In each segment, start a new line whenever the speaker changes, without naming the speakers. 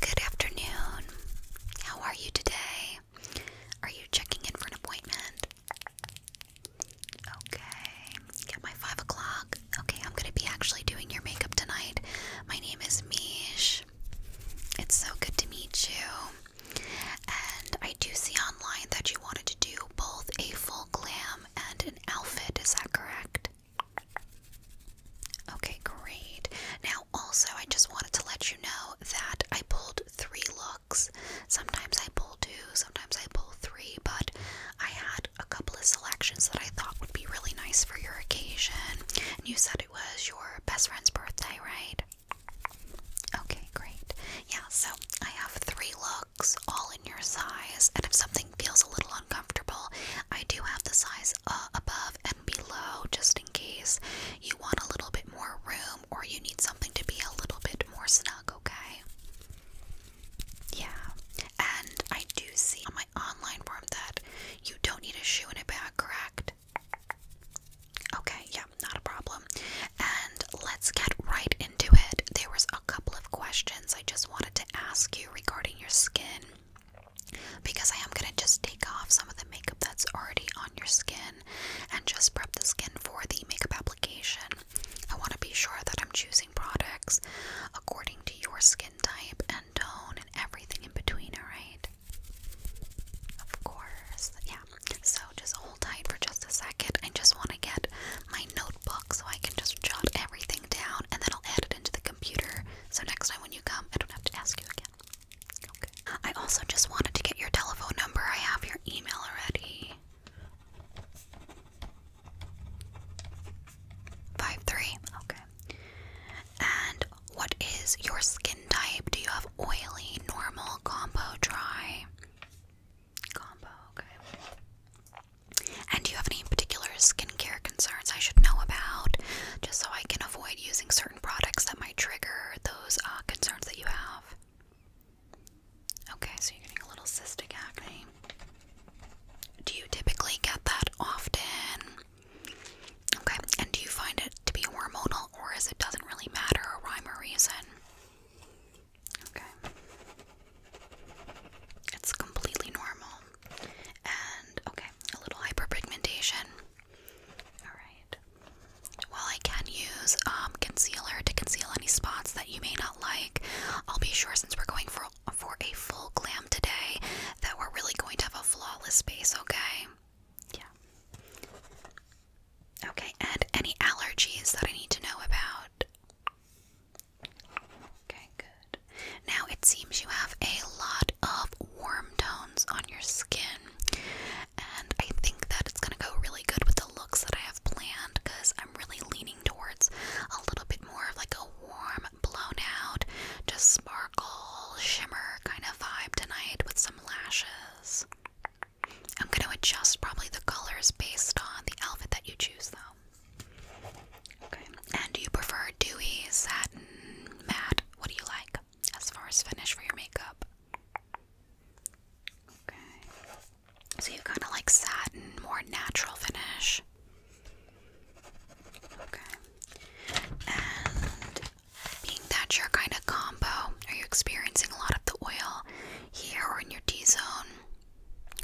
Good afternoon. How are you today? Are you checking in for an appointment? Okay. Get my five o'clock. Okay, I'm gonna be actually doing your makeup tonight. My name is Mish. It's so good to meet you. And I do see online that you wanted to do both a full glam and an outfit. Is that correct? Okay, great. Now, also, I just wanted to let you know that I pulled three looks. Sometimes I pull two, sometimes I pull three, but I had a couple of selections that I thought would be really nice for your occasion. And you said it was your best friend's birthday, right? Okay, great. Yeah, so I have three looks, all in your size, and if something feels a little uncomfortable, I do have the size uh, above below just in case you want a little bit more room or you need something to be a little bit more snug, okay? Yeah. And I do see on my online form that you don't need a shoe in a bag, correct? Okay, yeah, not a problem. And let's get right into it. There was a couple of questions I just wanted to ask you regarding your skin because I am going to just take off some of the makeup that's already on your skin and just prep the skin for the makeup application. I want to be sure that I'm choosing products according to your skin type and tone and everything in between, alright? Of course, yeah. So just hold tight for just a second. I just want to get my notebook so I can just jot everything down and then I'll add it into the computer so next time when you come, I don't have to ask you again. Okay. I also just wanted to get your telephone number. I have your email already. Five three. Okay. And what is your skin type? Do you have oily, normal, combo, dry? Combo, okay. And do you have any particular skincare concerns I should know about? Just so I can avoid using certain products that might trigger those uh, concerns that you have. Okay, so you're getting a little cystic acne. Do you typically get that often? Okay, and do you find it to be hormonal or is it doesn't really matter a rhyme or reason? Okay. It's completely normal. And okay, a little hyperpigmentation. Alright. While I can use um, concealer to conceal any spots that you may not like, I'll be sure since we're going for, for a full glam today that we're really going to have a flawless base, okay? Yeah. Okay, and any allergies that I need to know about? Okay, good. Now it seems you have a lot of warm tones on your skin, and I think that it's gonna go really good with the looks that I have planned because I'm really leaning towards a little bit more of like a warm, blown out, just sparkle, shimmer kind of vibe tonight with some lashes. I'm gonna adjust probably the colors based on the outfit that you choose though. Okay. And do you prefer dewy, satin, matte, what do you like as far as finish for your makeup? Okay. So you kind of like satin, more natural finish. Okay. And being that your kind of combo, are you experiencing a lot of the oil here or in your T zone?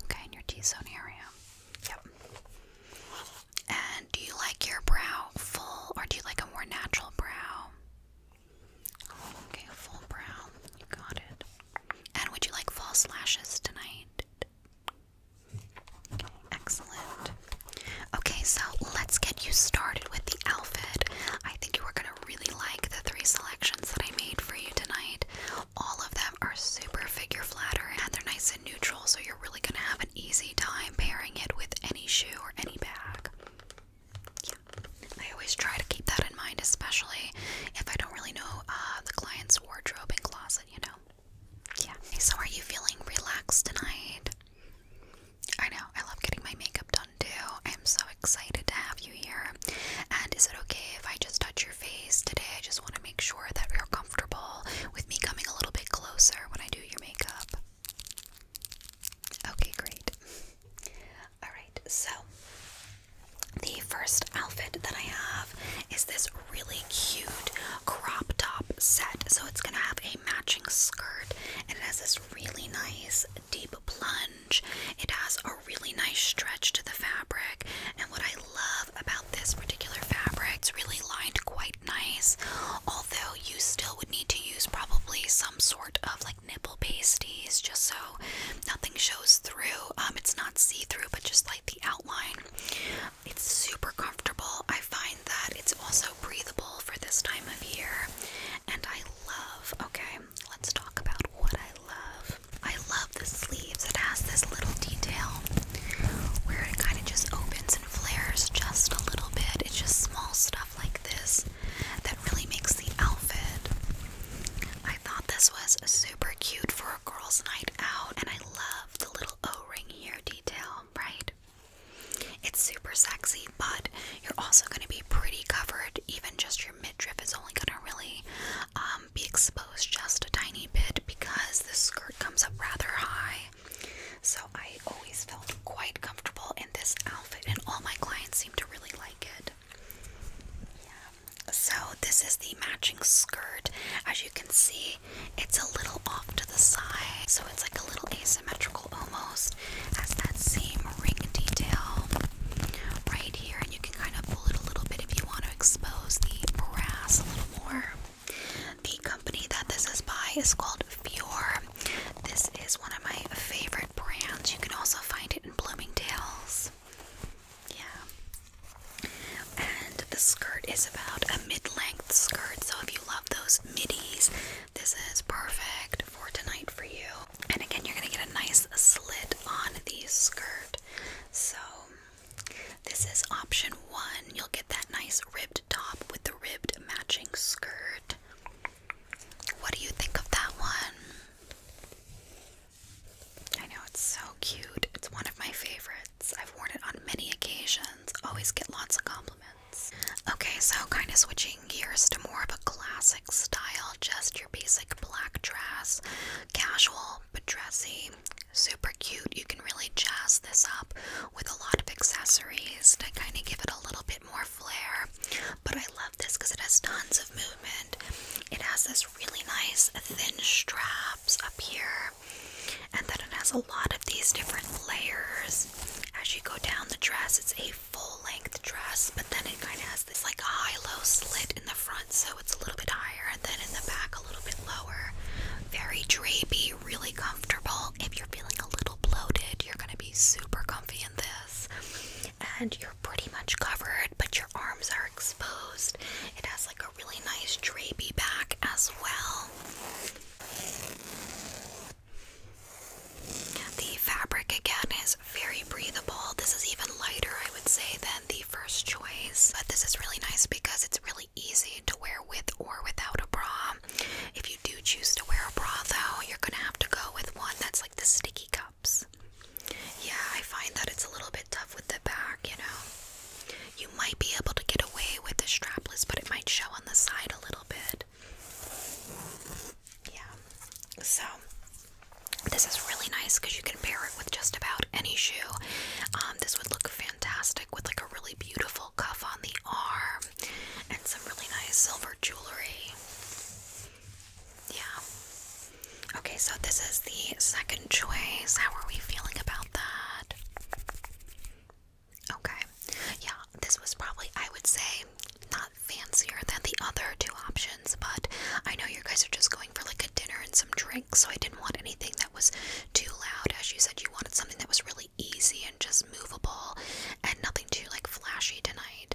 Okay, in your T zone area. Yep. And do you like your brow full or do you like a more natural brow? okay, full brow. You got it. And would you like false lashes tonight? Okay, excellent. Okay, so let's get you started with the outfit. I think you are going to really like the three selections that I made for you tonight. All of them are super figure flatter and they're nice and neutral, so you're really going to have easy time pairing it with any shoe or any bag. I always try to keep that in mind, especially if I don't really know uh, the client's wardrobe and closet, you know? Yeah. So, are you feeling relaxed tonight? I know, I love getting my makeup done too. I am so excited to have you here. And is it okay if I just touch your face today? I just want to make sure that you're comfortable comfortable with me coming a little bit closer when I do your makeup? Okay, great. Alright, so the first outfit that I have is this really cute crop top set. So it's going to have a matching skirt and it has this really nice deep plunge. It has a really nice stretch to the fabric. And what I love about this particular fabric. is really lined quite nice, although you still would need to use probably some sort of like nipple pasties just so nothing shows through. Um, it's not see through, but just like the outline. It's super comfortable. I find that it's also breathable for this time of year, and I love. Okay, let's talk about what I love. I love the sleeves. It has this little detail where it kind of just opens flares just a little bit. It's just small stuff like this that really makes the outfit. I thought this was super cute for a girls' night out, and I love the little O-ring here detail, right? It's super sexy, but you're also going to be pretty covered. Even just your midriff is only going to really um, be exposed just a tiny bit because this skirt comes up rather high. So I always felt quite comfortable in this outfit, and all my clients seem to really like it. So this is the matching skirt. As you can see, it's a little off to the side, so it's like a little asymmetrical almost. Has that same ring detail right here, and you can kind of pull it a little bit if you want to expose the brass a little more. The company that this is by is called Fior. This is one of my favorite brands. You can also find it in Bloomingdale's. Yeah. And the skirt is about a mid-length skirt, so if you love those middies, this is perfect for tonight for you. And again, you're going to get a nice slit on the skirt. So, this is option one. You'll get that nice ribbed top with the ribbed matching skirt. What do you think of that one? I know it's so cute. It's one of my favorites. I've worn it on many occasions. Always get lots of compliments. Okay, so kind of switching gears to more of a classic style, just your basic black dress, casual but dressy. Super cute. You can really jazz this up with a lot of accessories to kind of give it a little bit more flair. But I love this because it has tons of movement. It has this really nice thin straps up here, and then it has a lot of these different layers as you go down the dress. It's a full length dress, but then it kind of has this like a high low slit in the front, so it's a little bit higher, and then in the back, a little bit lower. Very drapy, really comfortable. If you're feeling a little bloated, you're gonna be super comfy in this. And you're pretty much covered, but your arms are exposed. It has like a really nice drapy back as well. The fabric again is very breathable. This is even lighter, I would say, than the first choice. But this is really nice because it's really easy to wear with or without a bra. Um, if you do choose to wear a bra, though, you're gonna have to go with one that's like the sticky cups. Yeah, I find that it's a little bit tough with the back, you know. You might be able to get away with the strapless, but it might show on the side a little bit. Yeah, so this is really nice because you can pair it with just about any shoe. Um, this would look fantastic with like a really beautiful cuff on the arm and some really nice silver jewelry. Yeah. Okay, so this is the second choice. How are we feeling about that? Okay. Yeah, this was probably, I would say, not fancier than the other two options, but I know you guys are just going for like a dinner and some drinks, so I didn't want anything that was too loud. As you said, you wanted something that was really easy and just movable and nothing too like flashy tonight.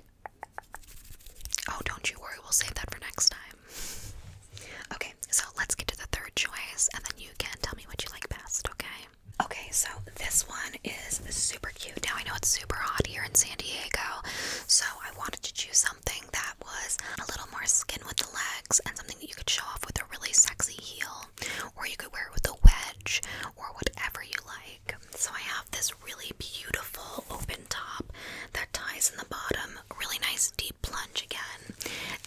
Oh, don't you worry, we'll save that for next time. Okay, so let's get to the third choice and then you can tell me what you like best, okay? Okay, so this one is super cute. Now I know it's super hot here in San Diego, so I wanted to choose something that was a little more skin with the legs and something that you could show off with a really sexy heel, or you could wear it with a wig or whatever you like. So I have this really beautiful open top that ties in the bottom, really nice deep plunge again.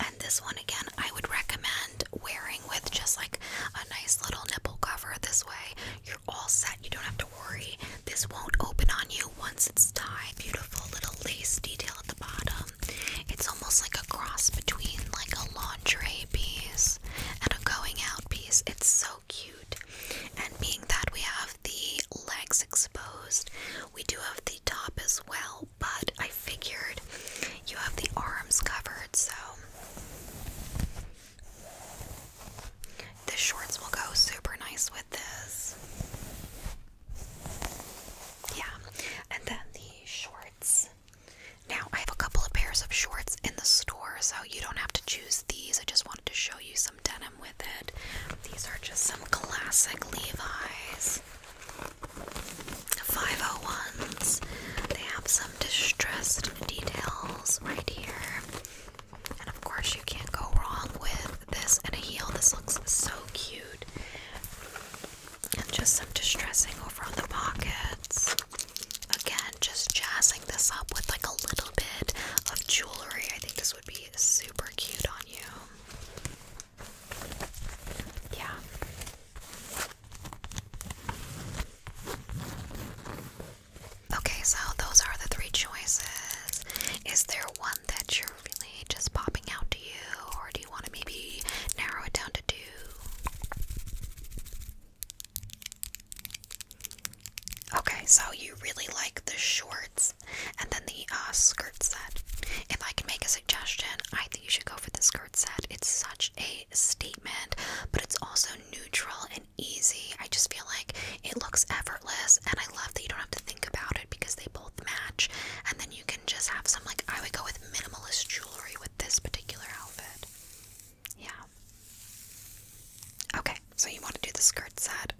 And this one again, I would recommend wearing with just like a nice little nipple cover. This way, you're all set. You don't have to worry. This won't open on you once it's tied. Beautiful little lace detail at the bottom. It's almost like a cross between like a lingerie piece and a going out piece. It's so cute. And being that we have the legs exposed, we do have the top as well, but I figured you have the arms covered, so the shorts will go super nice with this. Yeah, and then the shorts now, I have a couple of pairs of shorts in the store, so you don't have to choose these. I just wanted to show you some denim with it. These are just some classic Levi's 501s. They have some distressed details right here. And of course, you can't go wrong with this and a heel. This looks so cute and just some distressing over on the pockets. Again, just jazzing this up with like a little bit of jewelry. I think this would be super cute on you. Yeah. Okay, so those are the three choices. Is there one that you're really just popping out to you, or do you want to maybe narrow it down to two? Okay, so you really like the shorts and then the uh, skirt set. If I can make a suggestion, I think you should go for the skirt set. It's such a statement, but it's also neutral and easy. I just feel like it looks effortless, and I love that you don't have to think about it because they both match. And then you can just have some, like, I would go with minimalist jewelry with this particular outfit. Yeah. Okay, so you want to do the skirt side?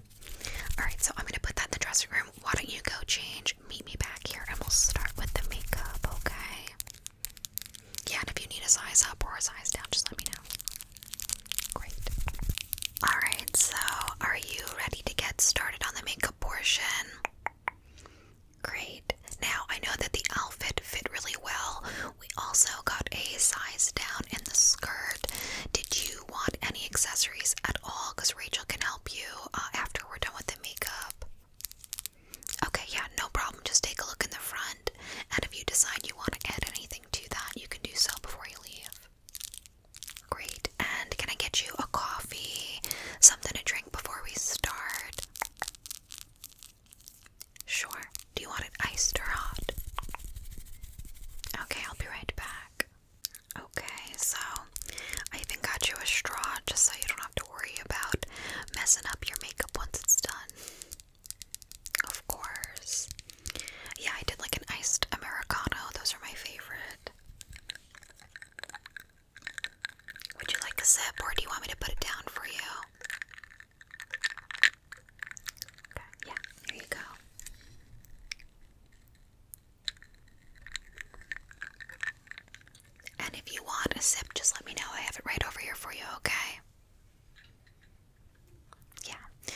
Alright, so I'm going to put that in the dressing room. Why don't you go change? Meet me back here and we'll start with the makeup, okay? Yeah, and if you need a size up or a size down, just let me know. Great. Alright, so are you ready to get started on the makeup portion? Great. Now I know that the outfit fit really well. We also got a size down in the skirt. Did you want any accessories at all? Because Rachel can help you uh, after we're done with the makeup. Okay, yeah, no problem. Just take a look in the front, and if you decide you want to add anything to that, you can do so before you leave. Great. And can I get you a coffee? Something to drink before we start? Sure. Do you want it iced or hot? Okay, I'll be right back. Okay, so I even got you a straw just so you don't have to worry about messing up your makeup once it's done. Of course. Yeah, I did like an iced Americano, those are my favorite. Would you like a sip or do you want me to put it down for you? yeah, there you go. And if you want a sip, just let me know. I have it right over here for you, okay? Yeah.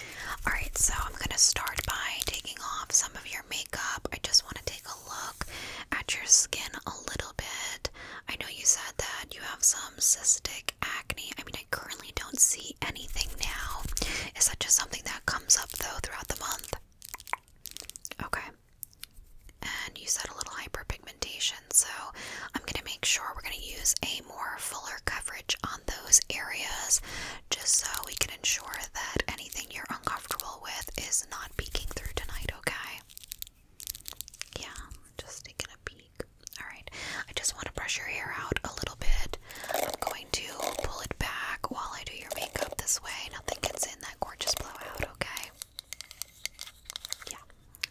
Alright, so I'm going to start by taking off some of your makeup. I just want to take a look at your skin a little bit. I know you said that you have some cystic acne. I mean, I currently don't see anything now. Is that just something that comes up though throughout the month? Okay. And you said a little hyperpigmentation, so I'm going to make sure we're going to use a more fuller coverage on those areas just so we can ensure that anything you're uncomfortable with is not peeking through tonight, okay? Yeah, just taking a peek. Alright, I just want to brush your hair out a little bit. I'm going to pull it back while I do your makeup this way. Nothing gets in that gorgeous blowout, okay? Yeah.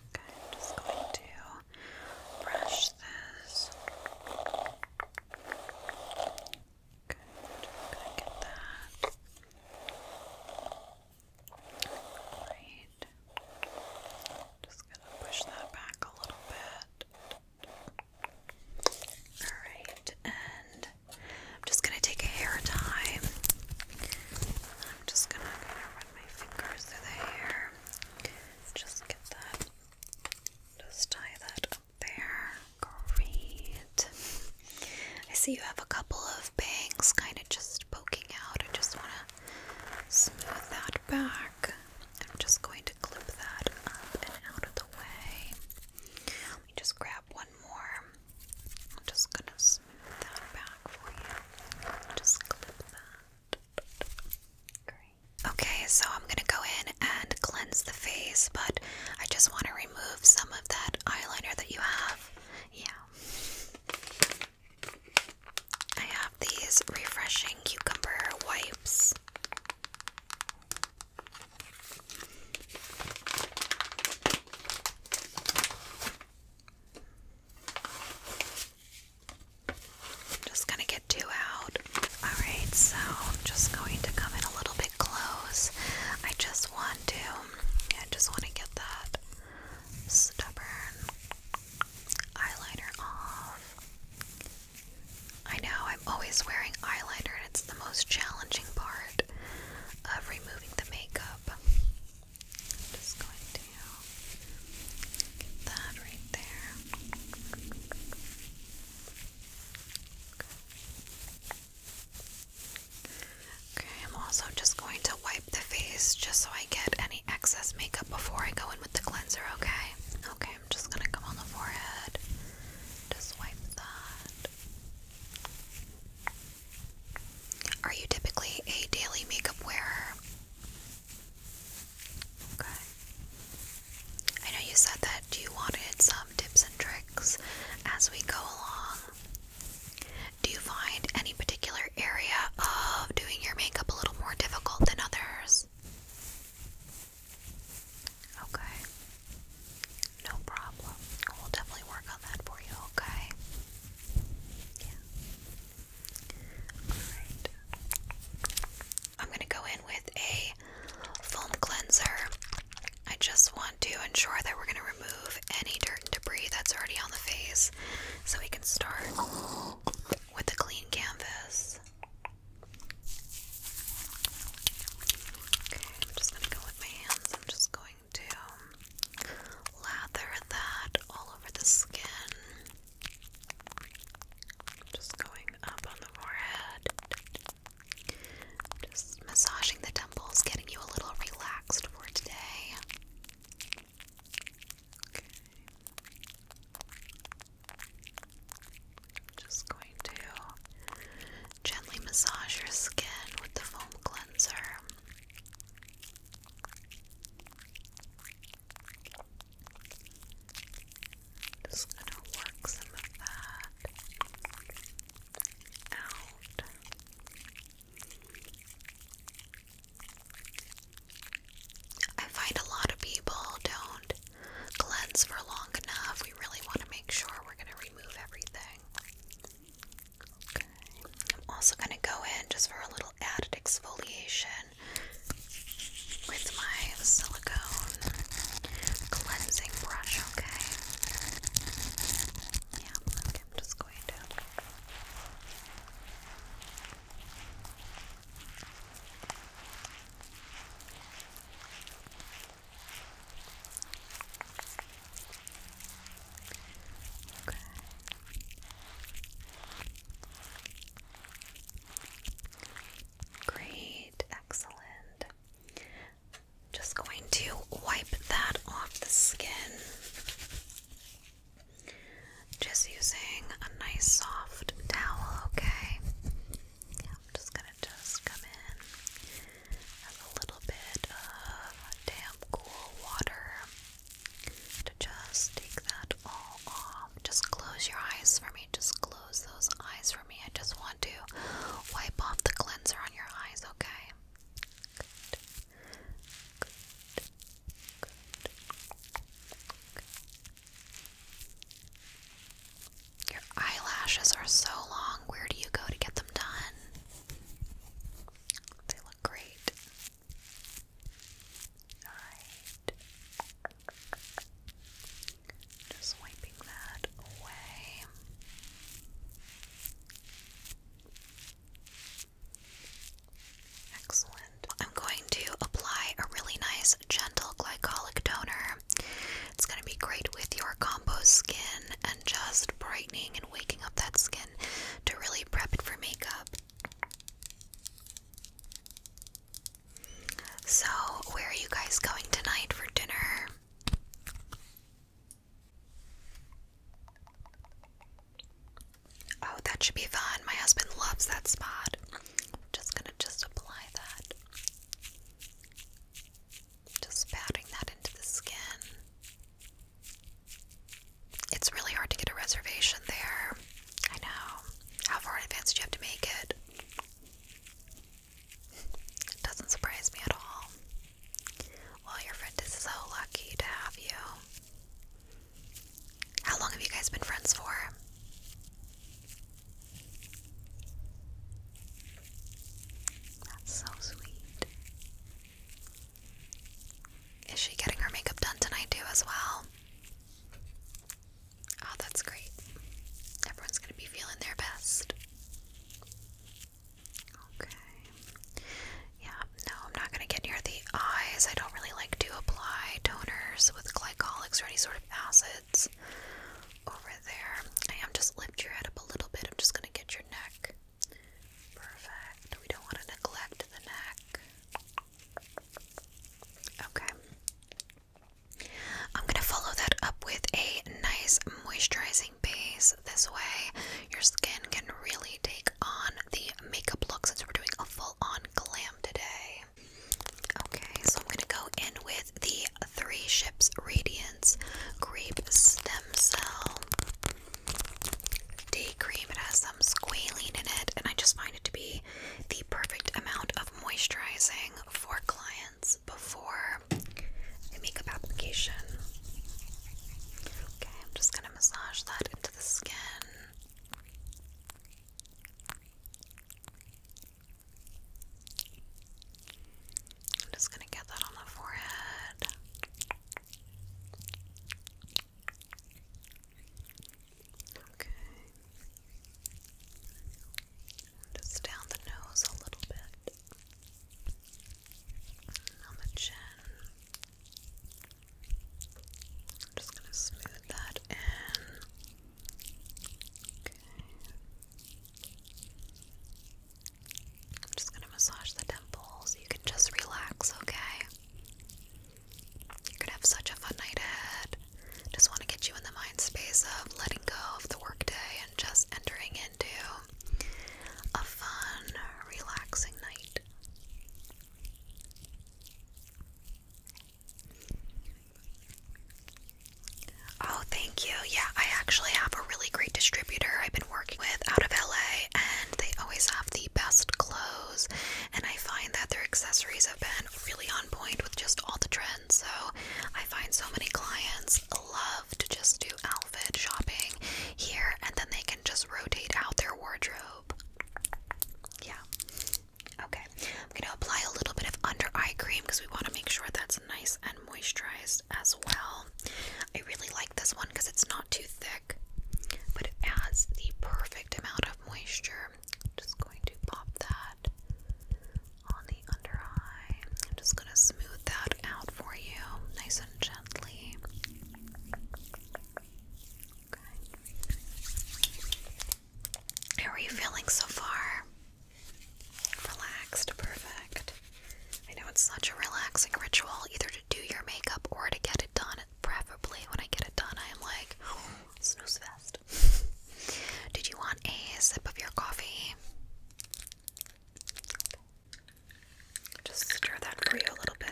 Okay, I'm just going to brush this. Good, i gonna get that. Just gonna push that back a little bit. Alright, and I'm just gonna take a hair tie. I'm just gonna run my fingers through the hair. Just get that. Just tie that up there. Great. I see you have a couple of bangs kind of kind of just poking out. I just want to smooth that back. I'm just going to clip that up and out of the way. Let me just grab one more. I'm just going to smooth that back for you. Just clip that. Great. Okay, so I'm going to go in and cleanse the face, but I just want to remove some of that eyeliner that you have. Yeah. I have these refreshing cucumber wipes. just gonna get two out. Alright, so I'm just going to come in a little bit close. I just want to I just want to get that Stubborn. Eyeliner off. I know I'm always wearing eyeliner, and it's the most challenging part of removing the makeup. just going to get that right there. Okay, I'm also just going to wipe the face just so I get any excess makeup before I go in with the cleanser, okay? Okay, I'm just gonna come on the forehead. Just wipe that. Are you typically a daily makeup wearer? Okay. I know you said that you wanted some tips and tricks as we go along. Do you find any particular area of doing your makeup a little more difficult than others? Okay. No problem. We'll definitely work on that for you, okay? Yeah. Alright. I'm going to go in with a foam cleanser. I just want to ensure that we're going to remove any dirt and debris that's already on the face so we can start with a clean canvas. Okay, I'm just going to go with my hands. I'm just going to um, lather that all over the skin. Just going up on the forehead. Just massaging the temples, getting you a little relaxed for today just going to gently massage your skin with the foam cleanser. Just gonna work some of that out. I find a lot of people don't cleanse for long enough. We really want to make sure we're going to remove everything. I'm also going to go in just for a little added exfoliation with my silicone cleansing brush, okay? Yeah, okay, I'm just Great, excellent. Just going to wipe that off the skin. Just using a nice soft towel, okay? I'm just gonna just come in as a little bit of damp, cool water to just take that all off. Just close your eyes for me. Just close those eyes for me. I just want to wipe off the cleanser on your eyes, okay? Your eyelashes are so long. Where do you go to get them done? They look great. Just wiping that away. Excellent. I'm going to apply a really nice gentle glycolic toner. It's going to be great with your compost skin and just brightening and waking up that skin to really prep it for makeup. So, where are you guys going tonight for dinner? Oh, that should be fun. My husband loves that spot. I'm just gonna just apply that. Just patting that into the skin. It's really hard to get a reservation there. I know. How far in advance do you have to make it? It doesn't surprise me at all. Well, your friend is so lucky to have you. How long have you guys been friends for? That's so sweet. Is she getting her makeup done tonight, too, as well? Oh, that's great. Everyone's going to be feeling their best. Okay. Yeah, no, I'm not going to get near the eyes. I don't really like to apply toners with glycolics or any sort of acids over there. I am just lift your head up a little bit. I'm just going to get your neck. Perfect. We don't want to neglect the neck. Okay. I'm going to follow that up with a nice moisturizing base. This way, your skin can really take on the makeup look since we're doing a full-on glam today. Okay, so I'm gonna go in with the Three Ships Radiance Grape Stem Cell Day Cream. It has some squalene in it, and I just find it to be the perfect amount of moisturizing for clients before a makeup application. Okay, I'm just gonna massage that the skin. I'm just going to get that on the forehead. Okay. Just down the nose a little bit. on the chin. I'm just going to smooth that in. Okay. I'm just going to massage the temples. You can just relax, okay? You're going to have such a fun night ahead. Just want to get you in the mind space of letting go of the workday and just entering into a fun, relaxing night. Oh, thank you. Yeah, I actually have a really great distributor I've been working with out of LA, and they always have the best clothes. And I find that their accessories have been really on point with just all the trends. So I find so many clients love to just do outfit shopping here, and then they can just rotate out their wardrobe yeah. Okay. I'm going to apply a little bit of under eye cream because we want to make sure that's nice and moisturized as well. I really like this one because it's not too thick, but it has the perfect amount of moisture. just going to pop that on the under eye. I'm just going to smooth that out for you nice and gently. How are you feeling so far? Relaxed, perfect. I know it's such a relaxing ritual, either to do your makeup or to get it done. Preferably, when I get it done, I am like, oh, snooze fest. Did you want a sip of your coffee? Just stir that for you a little bit.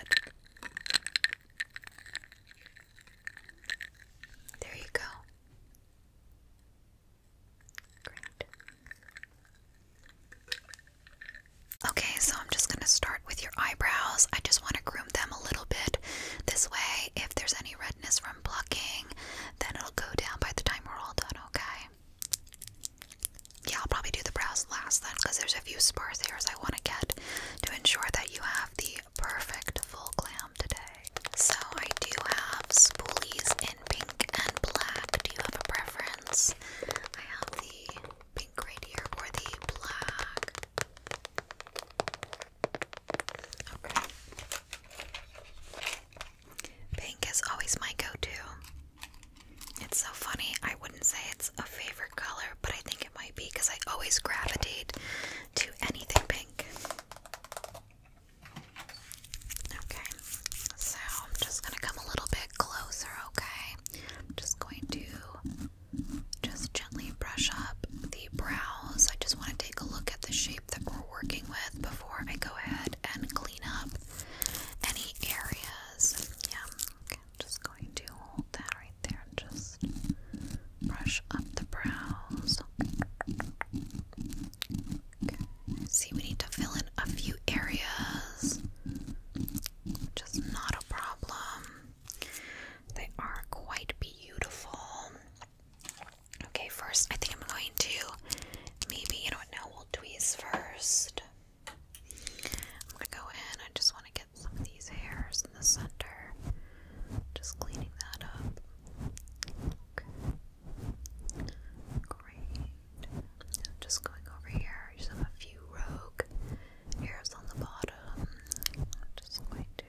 There you go. Great. Okay, so I'm just going to start with your eyebrows. I just want to groom them a little bit. This way, if there's any redness from plucking, then it'll go down by the time we're all done, okay? yeah, I'll probably do the brows last then because there's a few sparse hairs I want to get to ensure that you have the perfect full glam today. So I do have spoolies in pink and black. Do you have a preference? I have the pink right here or the black. Okay. Pink is always my go to. It's so funny. I wouldn't say it's a favorite color, but I think it might be because I always gravitate to anything pink. Okay, so I'm just going to come a little bit closer, okay? I'm just going to just gently brush up the brows. I just want to take a look at the shape that we're working with before I go ahead and clean up any areas. Yeah, just going to hold that right there just brush up the brows. See, we need to fill in a few areas, which not a problem. They are quite beautiful. Okay, first I think I'm going to maybe you know what? No, we'll tweeze first. I'm gonna go in. I just want to get some of these hairs in the center. Just cleaning that up. Okay. Great. just going over here. I just have a few rogue hairs on the bottom. just going to.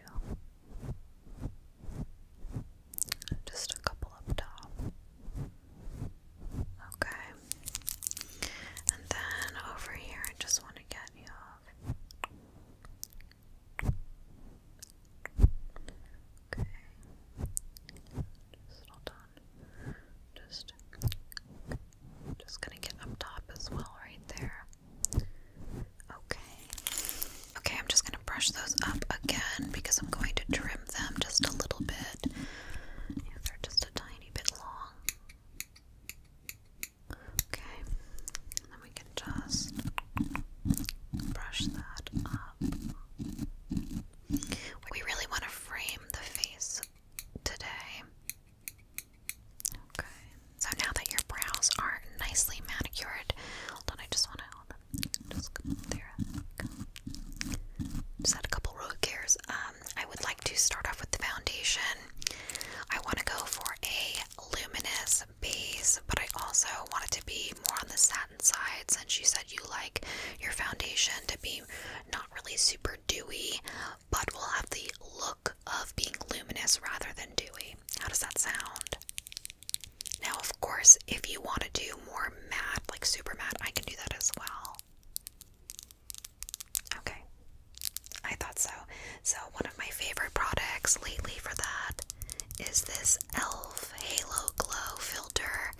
Just a couple up top. Okay. And then over here, I just want to get you off. Okay. Just hold on. Just, just gonna get up top as well, right there. Okay. Okay, I'm just gonna brush those up again because I'm going to trim them just a little bit. Yeah, they're just a tiny bit long. Okay, and then we can just brush that up. We really want to frame the face today. Okay, so now that your brows are nicely manicured, hold on, I just want to hold on. Just there. Just had a couple root gears. Uh, I would like to start off with the foundation. I want to go for a luminous base, but I also want it to be more on the satin side since you said you like your foundation to be not really super dewy, but will have the look of being luminous rather than dewy. How does that sound? Now, of course, if you want to do more matte, like super matte, I can do that as well. Okay. I thought so. So, one of my favorite products lately for that is this e.l.f. Halo Glow Filter.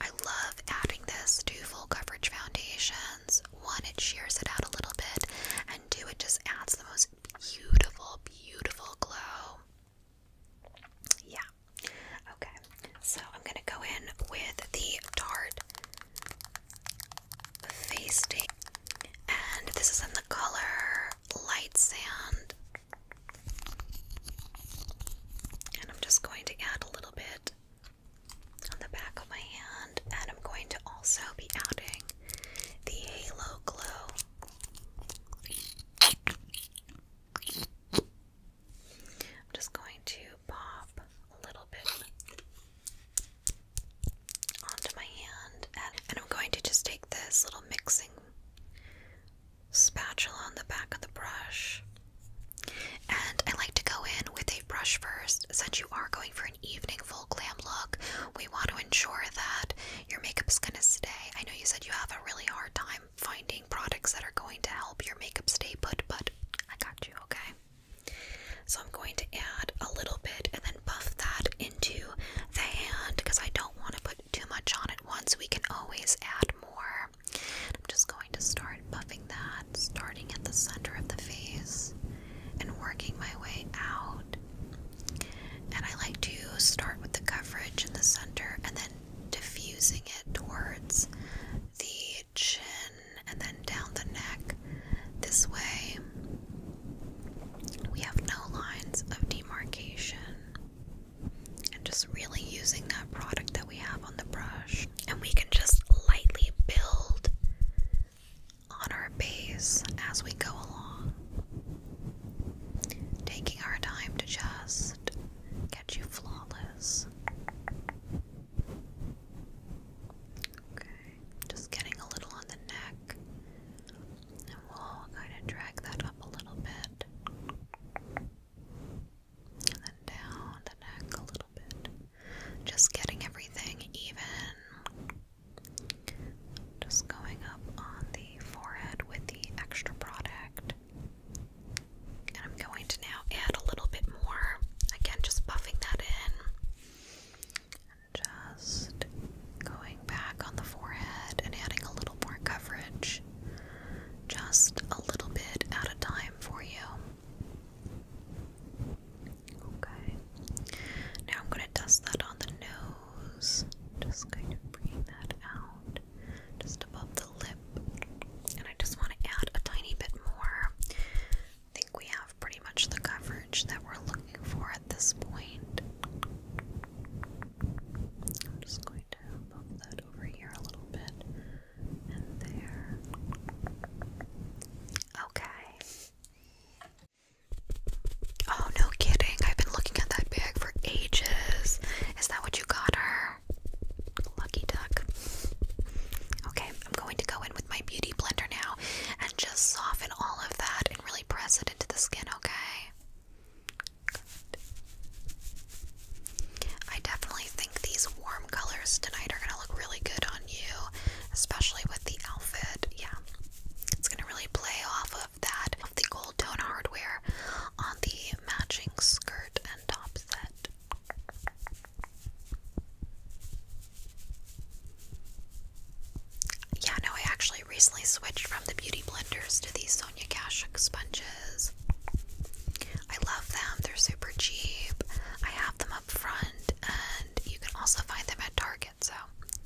I love adding this to full coverage foundations. One, it shears it out a little bit, and two, it just adds the most beautiful, beautiful glow. Yeah. Okay. So, I'm going to go in with the Tarte face tape, and this is in the color light sand. And I'm just going to add a little bit on the back of my hand, and I'm going to also be adding the halo glow. I'm just going to pop a little bit onto my hand, and, I'm going to just take this little mixing spatula on the back of the brush. And I like to go in with a brush first. Since you are going for an evening full glam look, we want to ensure that your makeup is going to stay. I know you said you have a really hard time finding products that are going to help your makeup stay put, but I got you, okay? So I'm going to add a little bit and then buff that into the hand because I don't want to put too much on at once. We can always add more. I'm just going to start buffing that, starting at the center of the face and working my way out. And I like to start with the coverage in the center and then diffusing it towards the chin and then down the neck. This way, we have no lines of demarcation. And just really using that product that we have on the brush. And we can just lightly build on our base as we go along. Taking our time to just get you flawless. Okay, just getting a little on the neck, and we'll kind of drag that up a little bit, and then down the neck a little bit. Just getting everything even. Just going up on the forehead with the extra product. And I'm going to now add a little bit more. Again, just buffing that in. And just going back on the forehead and adding a little more coverage. Just a little bit at a time for you. Okay. Now I'm going to dust that on the nose. Just kind of bringing that out just above the lip. And I just want to add a tiny bit more I think we have pretty much the coverage that we're looking for at this point. I'm just going to move that over here a little bit and there. Okay. Oh, no kidding. I've been looking at that bag for ages. Is that what you got her? Lucky duck. Okay, I'm going to go in with my beauty blender now and just soften all of that and really press it into the skin, okay? I definitely think these warm colors tonight are gonna look really good on you, especially with the outfit. Yeah. It's gonna really play off of that the gold tone hardware on the matching skirt and top set. Yeah, no, I actually recently switched from the Beauty Blenders to these Sonia Kashuk sponges. I love them, they're super cheap. I have them up front, and you can also find them at Target, so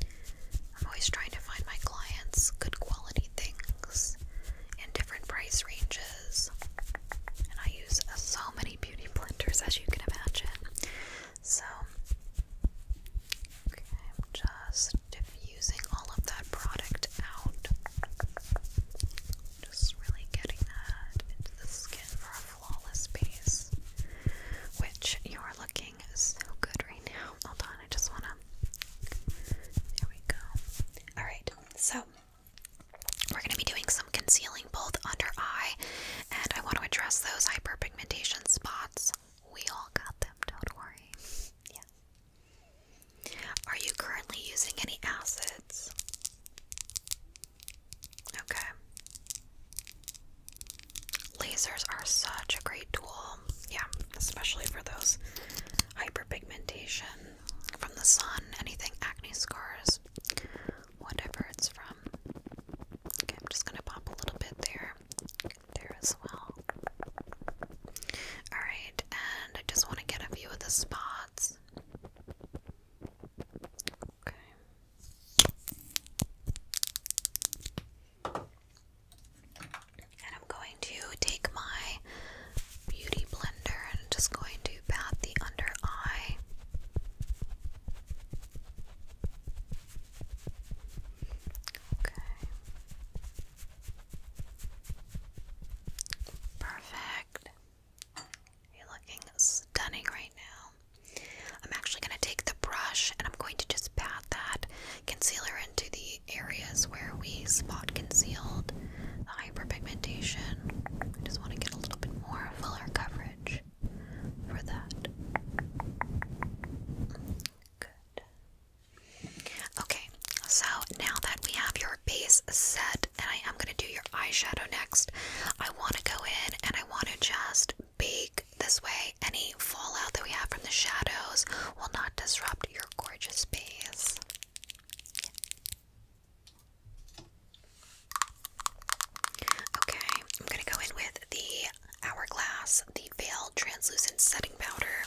I'm always trying to find my clients good quality things in different price ranges. And I use so many beauty blenders as you can imagine. So, I'm just diffusing all of that product out. Just really getting that into the skin for a flawless base, which you are looking so good right now. Hold on, I just want to. There we go. Alright, so we're going to be doing some concealing both under eye, and I want to address those hyperpigmentation spots. We all got them, don't worry. Yeah. Are you currently using any acids? Okay. Lasers are such a great tool. Yeah, especially for those hyperpigmentation from the sun, anything acne scars, whatever it's from. Okay, I'm just gonna pop a little bit there, there as well. Alright, and I just want to get a few of the spots. Okay. And I'm going to take my beauty blender and I'm just going to pat the under eye. Okay. Perfect. You're looking stunning right now. I'm actually going to take the brush and I'm going to just pat that concealer into the areas where we spot concealed the hyperpigmentation. I just want to get a little bit more fuller coverage for that. Okay, so now that we have your base set, and I am going to do your eyeshadow next, I want to go in and I want to just bake this way. Any fallout that we have from the shadows will not disrupt your gorgeous base. Okay, I'm gonna go in with the Hourglass, the Veil Translucent Setting Powder.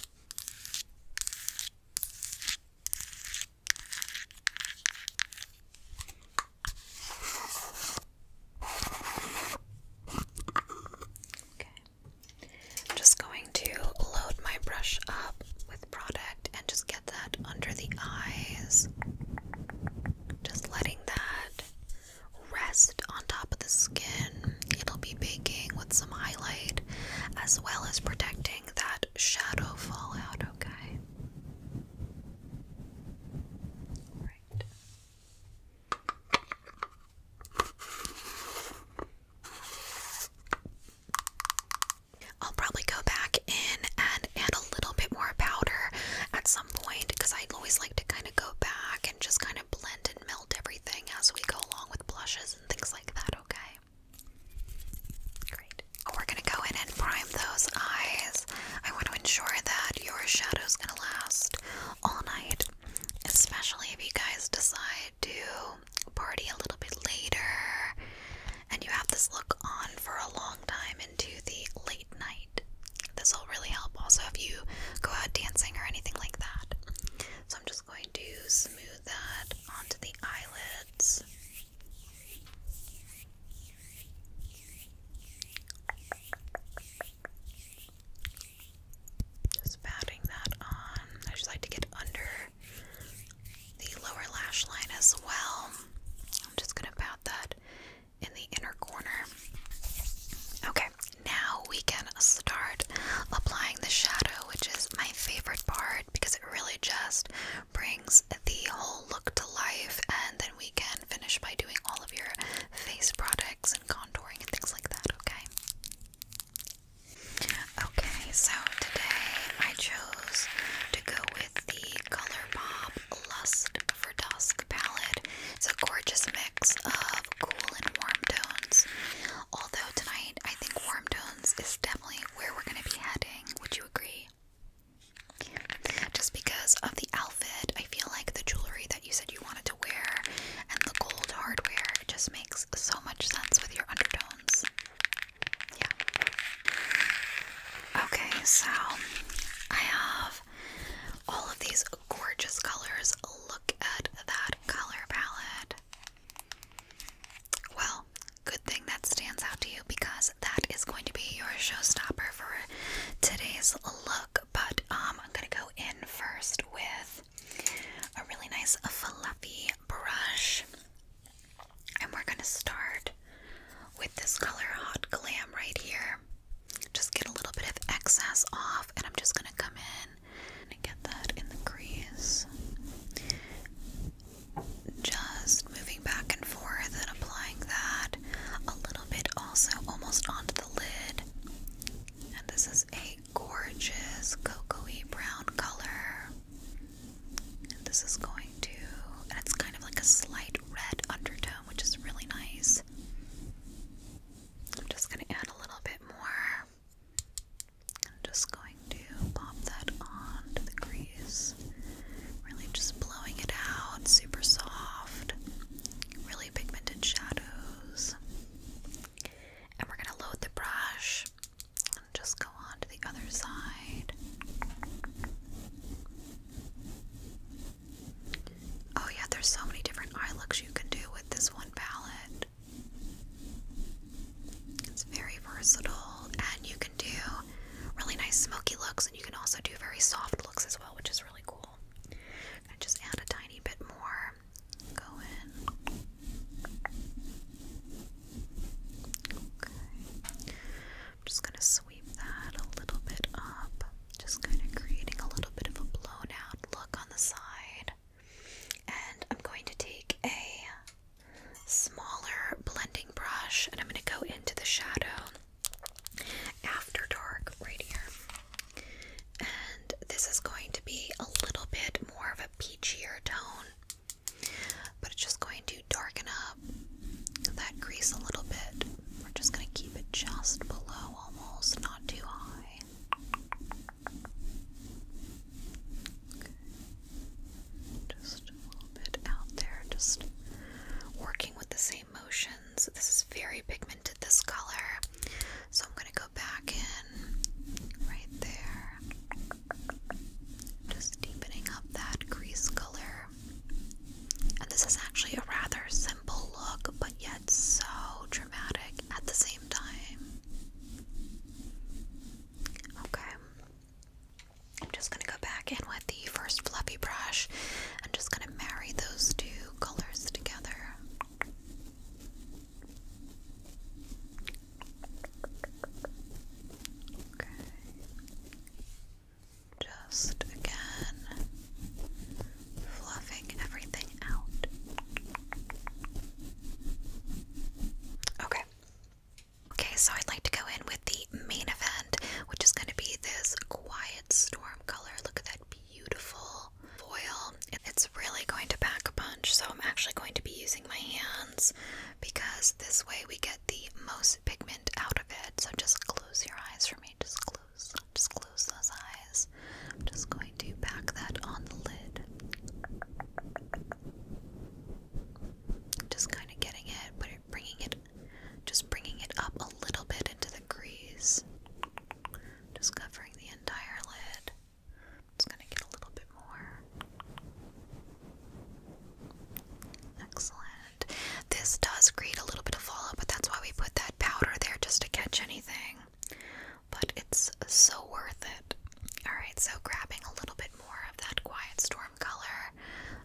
Okay. I'm just going to load my brush up with product and just get that under the eyes. Just letting that rest on top of the skin. It'll be baking with some highlight as well as protecting that shadow fallout, okay? Right. I'll probably go back in and add a little bit more powder at point because I always like to kind of go back and just kind of blend and melt everything as we go along with blushes and things like that, okay? Great. Oh, we're going to go in and prime those eyes. I want to ensure that your shadow's going to last all night, especially if you guys decide to party a little bit later and you have this look on for a long time into the late night. This will really help also if you go out dancing or anything like that. So I'm just going to smooth that onto the eyelids. Just patting that on. I just like to get under the lower lash line as well. I'm just going to pat that in the inner corner. Okay, now we can start applying the shadow, which is my favorite part because it really just brings the whole look to life, and then we can finish by doing all of your face products and contouring and things like that, okay? Okay, so today I chose to go with the ColourPop Lust for Dusk palette. It's a gorgeous mix of cool and warm tones. Although tonight I think warm tones is definitely where we're going to be heading. Would you agree? Just because of the outfit, I feel like the jewelry that you said you wanted to wear and the gold hardware just makes so much sense with your undertones. Yeah. Okay, so I have all of these gorgeous colors. Look at that color palette. Well, good thing that stands out to you because that is going to be your showstopper for today's look. But um, I'm going to go in first with a really nice fluffy brush. And we're going to start with this color Hot Glam right here just get a little bit of excess off, and I'm just gonna come in and get that in the crease. Just moving back and forth and applying that a little bit also almost onto the lid. And this is a gorgeous cocoa brown color. And this is going to, and it's kind of like a slight red undertone which is really nice. I'm just going to add a little bit more. I'm just going to pop that onto the crease. Really just blowing it out, super soft, really pigmented shadows. And we're going to load the brush and just go on to the other side. Oh, yeah, there's so many different eye looks you can do with this one palette. It's very versatile, and you can do really nice smoky looks, and you can also do very soft looks as well, which is really cool. just add a tiny bit more. Go in. I'm just going to sweep that a little bit up, just kind of creating a little bit of a blown out look on the side. And I'm going to take a smaller blending brush and I'm going to go into the shadow after dark right here. And this is going to be a little bit more of a peachier tone, but it's just going to darken up that crease a little bit. We're just going to keep it just below almost, not too high. Just a little bit out there, just working with the same motions. This is very pigmented, this color. So I'm going to go back in right there. Just deepening up that crease color. And this is actually a rather simple look, but yet so dramatic at the same time. Okay. I'm just going to go back in with the first fluffy brush. I'm just going to marry those two colors together. Okay. Just again, fluffing everything out. Okay. Okay, so I'd like to go in with the main event, which is going to be this quiet storm color. Look at that beautiful foil. It's really going to pack a punch, so I'm actually going to be using my hands because this way we get the most pigment out of it. So just close your eyes for me. Just close. Just close those eyes. I'm just going to pack that on the lid. Just kind of getting it, bringing it, just bringing it up a little bit into the crease. Just covering the entire lid. Just gonna get a little bit more. Excellent this does create a little bit of fallout, but that's why we put that powder there just to catch anything. But it's so worth it. Alright, so grabbing a little bit more of that Quiet Storm color,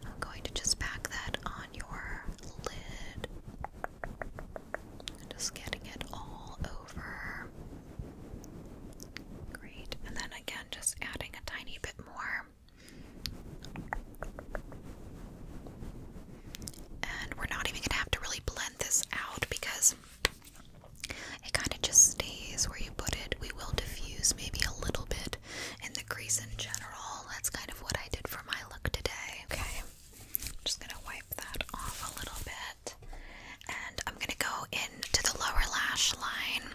I'm going to just pack that on your lid. Just getting it all over. Great. And then again, just adding a tiny bit more. And we're not even gonna have to really blend this out because it kind of just stays where you put it. We will diffuse maybe a little bit in the crease in general. That's kind of what I did for my look today. Okay, just gonna wipe that off a little bit. And I'm gonna go into the lower lash line.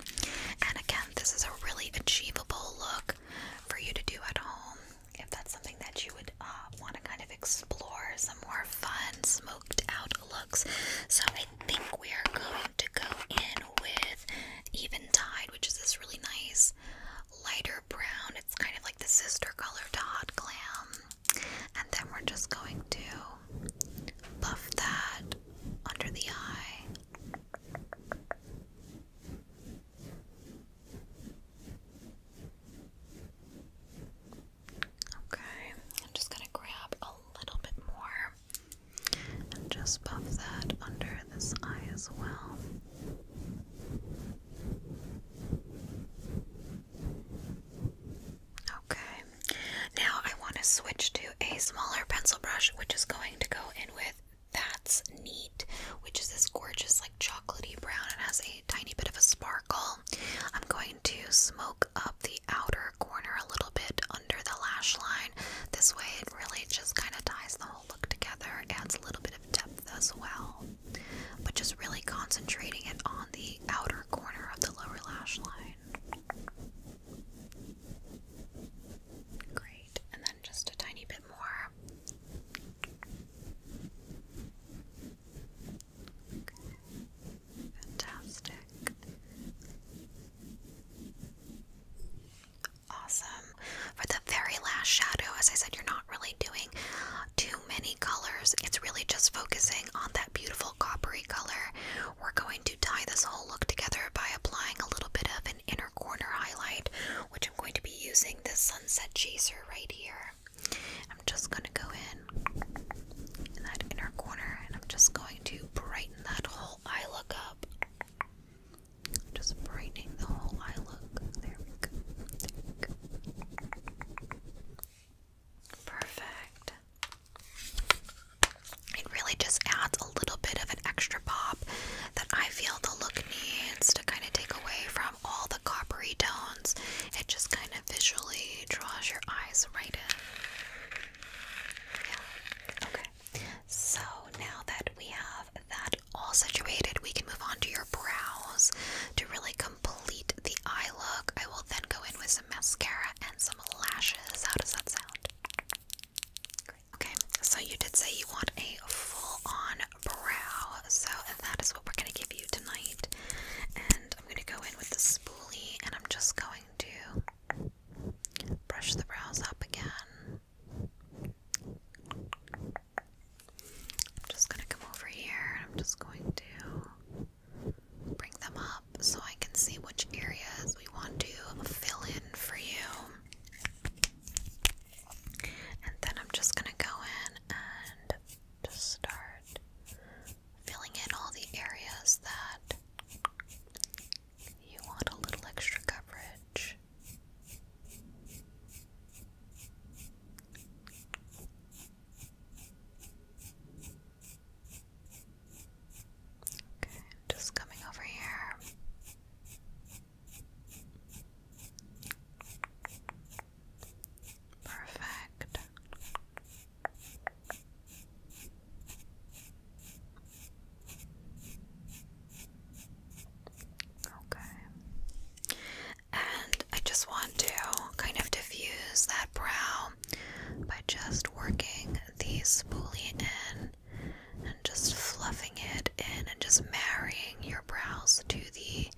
And again, this is a really achievable look for you to do at home if that's something that you would uh, want to kind of explore some more fun, smoked out looks. So I think we are going to go in with Even Tide, which is this really nice lighter brown. It's kind of like the sister color to Hot Glam. And then we're just going to buff that under the eye. Okay, I'm just going to grab a little bit more and just buff that under this eye as well. Okay, now I want to switch to a smaller pencil brush, which is going to go in with that's Neat, which is this gorgeous, like chocolatey brown and has a tiny bit of a sparkle. I'm going to smoke up the outer corner a little bit under the lash line. This way, it really just kind of ties the whole look together, adds a little bit of depth as well, but just really concentrating it on the outer corner of the lower lash line. Great, and then just a tiny bit more Fantastic. Awesome. For the very last shadow, as I said, you're not really doing too many colors. It's really just focusing on that beautiful coppery color. We're going to tie this whole look together by applying a little bit of an inner corner highlight which I'm going to be using the Sunset Chaser right here. I'm just going to go in in that inner corner and I'm just going to brighten that whole eye look up. Just brightening the whole eye look. There we go. There we go. Perfect. It really just adds a little bit of an extra pop that I feel the look needs to kind of take away from all the coppery tones. It just kind of visually draws your eyes right in. Okay. So now that we have that all situated, we can move on to your brows to really complete the eye look. I will then go in with some mascara and some lashes. How does that sound? Great. Okay, so you did say you want a full on brow. So that is what we're going to give you tonight. And I'm going to go in with the spoolie and I'm just going to brush the brows up again. I'm just going to come over here and I'm just going to bring them up so I can see which areas we want to fill in for you. And then I'm just going to go in and just start filling in all the areas that you want a little extra coverage. Okay, just coming over here. Perfect. Okay. And I just want to kind of diffuse that brow by just working these spoolie in and just fluffing it in and just marrying your brows to the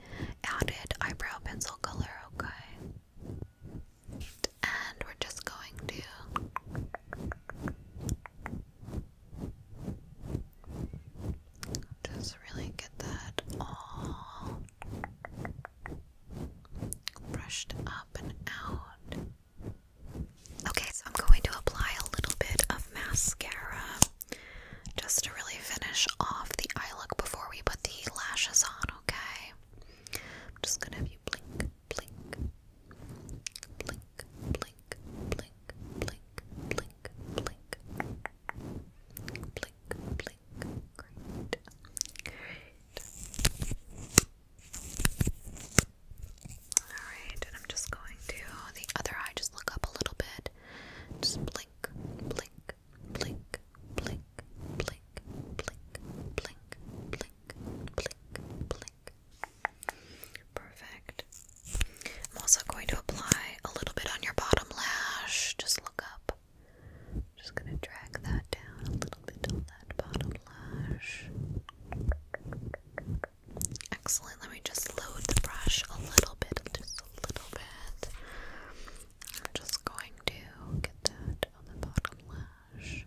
added eyebrow pencil color, okay? And we're just going to just really get that all brushed up and out. Okay, so I'm going to apply a little bit of mascara. Just to really finish off the eye look before we put the lashes on, okay? I'm just gonna have you blink, blink, blink, blink, blink, blink, blink, blink, blink, blink. Great. Great. Alright, and I'm just going to the other eye, just look up a little bit. Just blink blink, blink, blink, blink, blink, blink, blink, blink, blink, Perfect. I'm also going to apply a little bit on your bottom lash. Just look up. Just gonna drag that down a little bit on that bottom lash. Excellent. Let me just load the brush a little bit a little bit. I'm just going to get that on the bottom lash.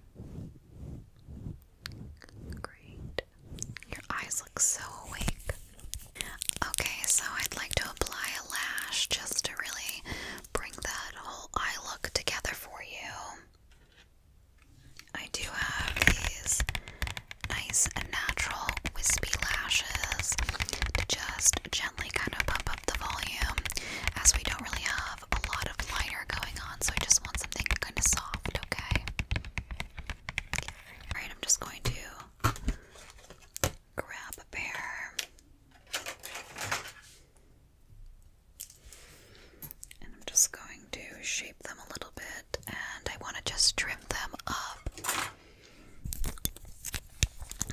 Great. Your eyes look so awake. Okay, so I'd like to apply a lash just to really bring that whole eye look together for you. I do have these nice and natural wispy lashes to just gently kind of pump up the volume as we don't really have a lot of liner going on, so I just want something kind of soft, okay? Alright, I'm just going to grab a pair. And I'm just going to shape them a little bit, and I want to just trim them up.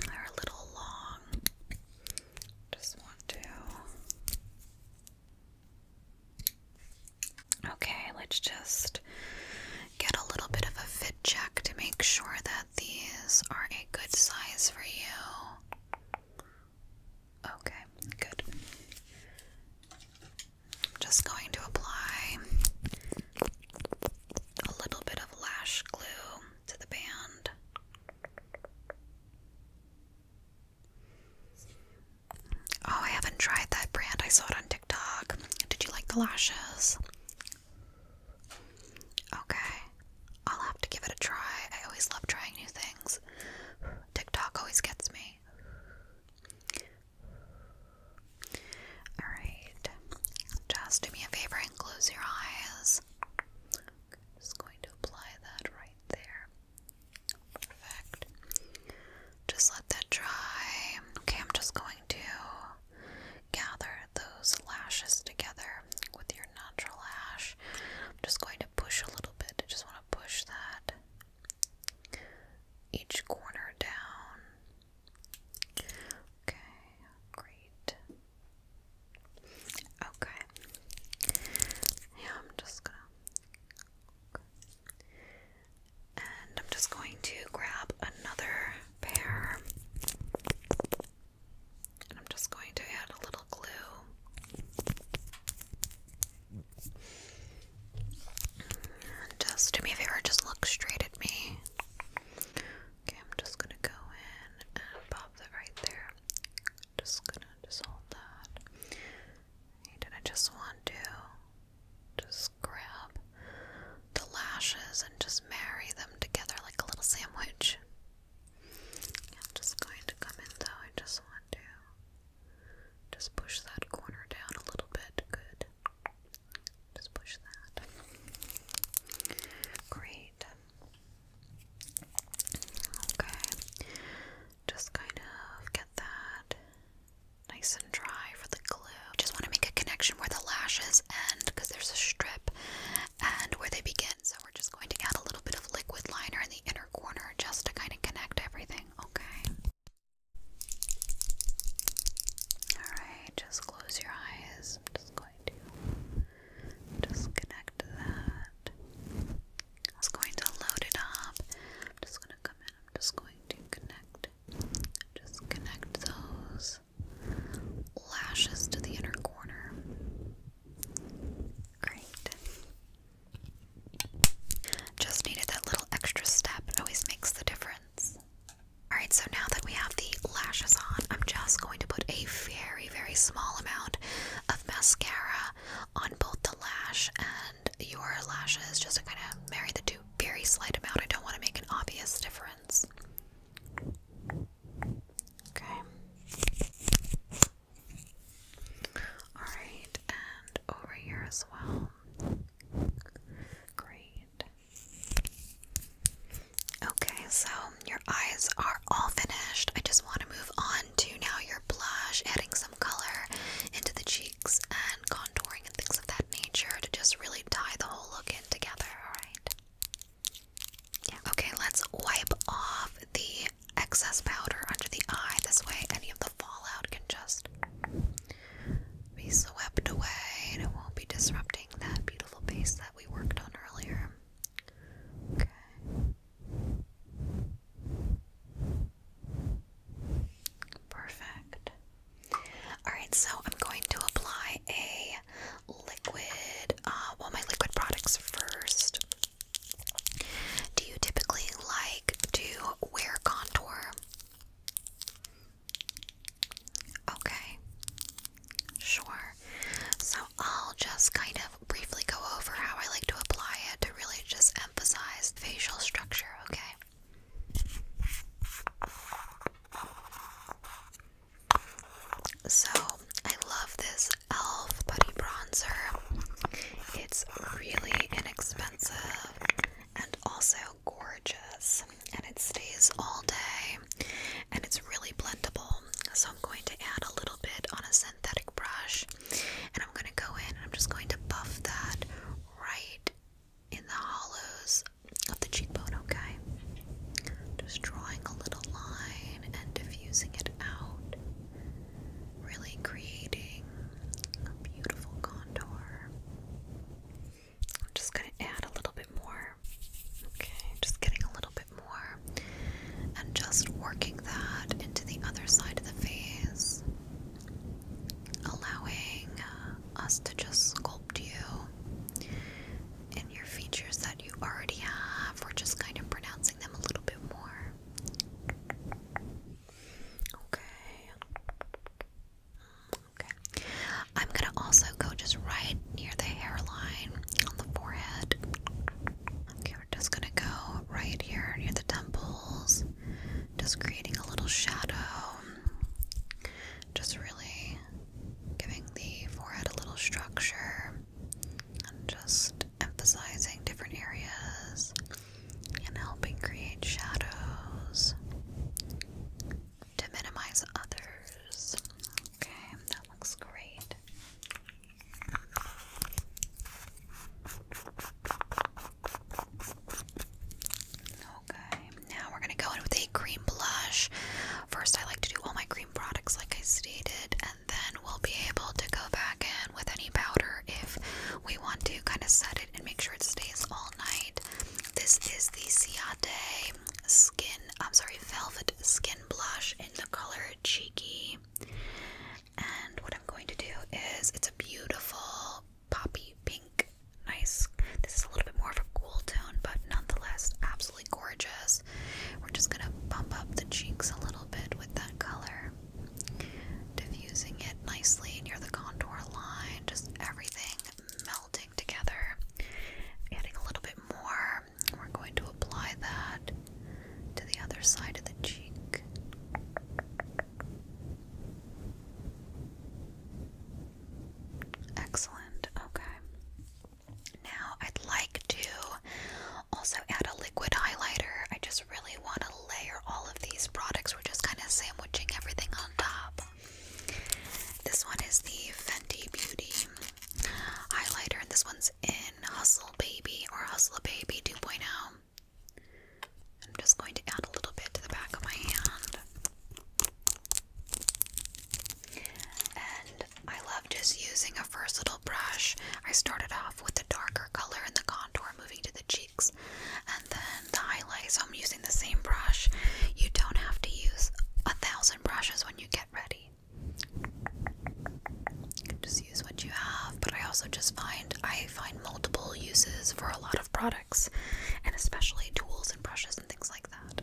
They're a little long. Just want to. Okay, let's just get a little bit of a fit check to make sure that these are a good size for you. Okay, good. just going to apply a little bit of lash glue to the band. Oh, I haven't tried that brand. I saw it on TikTok. Did you like the lashes? Okay. I'll have to give it a try. I always love trying new things. TikTok always gets me. Alright, just do me a favor and close your eyes. just going to apply that right there. Perfect. Just let that dry. Okay, I'm just going to gather those lashes together with your natural lash. I'm just going to push a little bit. I just want to push that each corner down. Okay, great. Okay. Yeah, I'm just gonna. And I'm just going to grab another pair. And I'm just going to add a little glue. And just do me a favor, just look straight at me. Okay, I'm just gonna go in and pop that right there. Just gonna just that. And I just want to just grab the lashes and just marry them together like a little sandwich. I'm just going to come in though. I just want to just push that corner down a little bit. Good. Just push that. Great. Okay. Just kind of get that nice and dry for the glue. Just want to make a connection where the lashes end because there's a strip and where they begin. So we're just going to add a little bit of liquid liner in the inner corner just to kind of connect everything. Okay. All right just close your eyes. I'm just going to disconnect that. I was going to load it up. I'm just going to come in. I'm just going to connect. Just connect those lashes to the inner corner. Great. Just needed that little extra step. always makes the difference. Alright, so now that we have the lashes on, I'm just going to put a very, very small amount of mascara on both the lash and your lashes just to kind of marry the two. Very slight amount. I don't want to make an obvious difference. Okay. Alright, and over here as well. Great. Okay, so your eyes are all finished. I just want to move on to now your blush, adding some color into the cheeks and contouring and things of that nature to just really tie the whole look in together, alright? Okay, let's wipe off the excess powder under the eye. This way, any of the fallout can just be swept away and it won't be disrupting that beautiful base that we worked on earlier. Okay. Perfect. Alright, so I'm going to apply a liquid, uh, well, my liquid products first. Do you typically like to wear contour? Okay. Sure. So I'll just kind of briefly go over how I like to apply it to really just emphasize facial structure, okay? So I love this e.l.f. Buddy bronzer. It's really inexpensive and also gorgeous and it stays all day and it's really blendable. So I'm going to add a little bit on a synthetic brush and I'm going to go in I'm just going to buff that right in the hollows of the cheekbone, okay? Just drawing a little line and diffusing it out, really creating a beautiful contour. I'm just going to add a little bit more. Okay, just getting a little bit more. And just working that into the other side of the face, allowing uh, us to just sculpt you in your features that you already have. We're just kind of pronouncing them a little bit more. Okay. Okay. I'm gonna also go just right near the hairline on the forehead. Okay, we're just gonna go right here near the temples, just creating a little shadow. Just really giving the forehead a little structure and just emphasizing different areas and helping create shadows to minimize others. Okay, that looks great. Okay, now we're gonna go in with a cream blush. First, I like to do all my cream products, like I stated, and then we'll be able to go back in with any powder if we want to kind of set it and make sure it stays all night. This is the Ciate skin, I'm sorry, velvet skin blush in the color Cheeky. And what I'm going to do is it's a beautiful poppy pink. Nice. This is a little bit more of a cool tone, but nonetheless, absolutely gorgeous. We're just going to bump up the cheeks a little bit with that color, diffusing it nicely near the contour line, just everything melting working together. Adding a little bit more. We're going to apply that to the other side of the cheek. Excellent. Okay. Now I'd like to also add a liquid highlighter. I just really want to layer all of these products. We're just kind of sandwiching everything on top. This one is the Fenty Beauty highlighter, and this one's in Hustle Baby or Hustle Baby 2.0. I'm just going to add a little bit to the back of my hand. And I love just using a versatile brush. I started off with the darker color in the contour, moving to the cheeks, and then the highlights I'm using the same brush. You don't have to use a thousand brushes when you get ready. You can just use what you have, but I also just find I find multiple uses for a lot of products, and especially tools and brushes and things like that.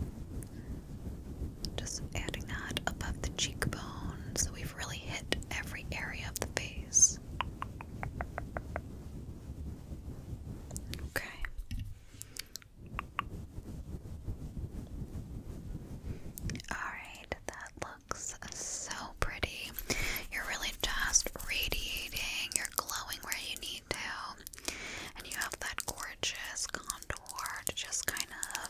Just adding that above the cheekbone, so we've really hit every area of the face. Okay. Alright, that looks so pretty. You're really just radiating, you're glowing where you need to, and you have that gorgeous contour to just kind of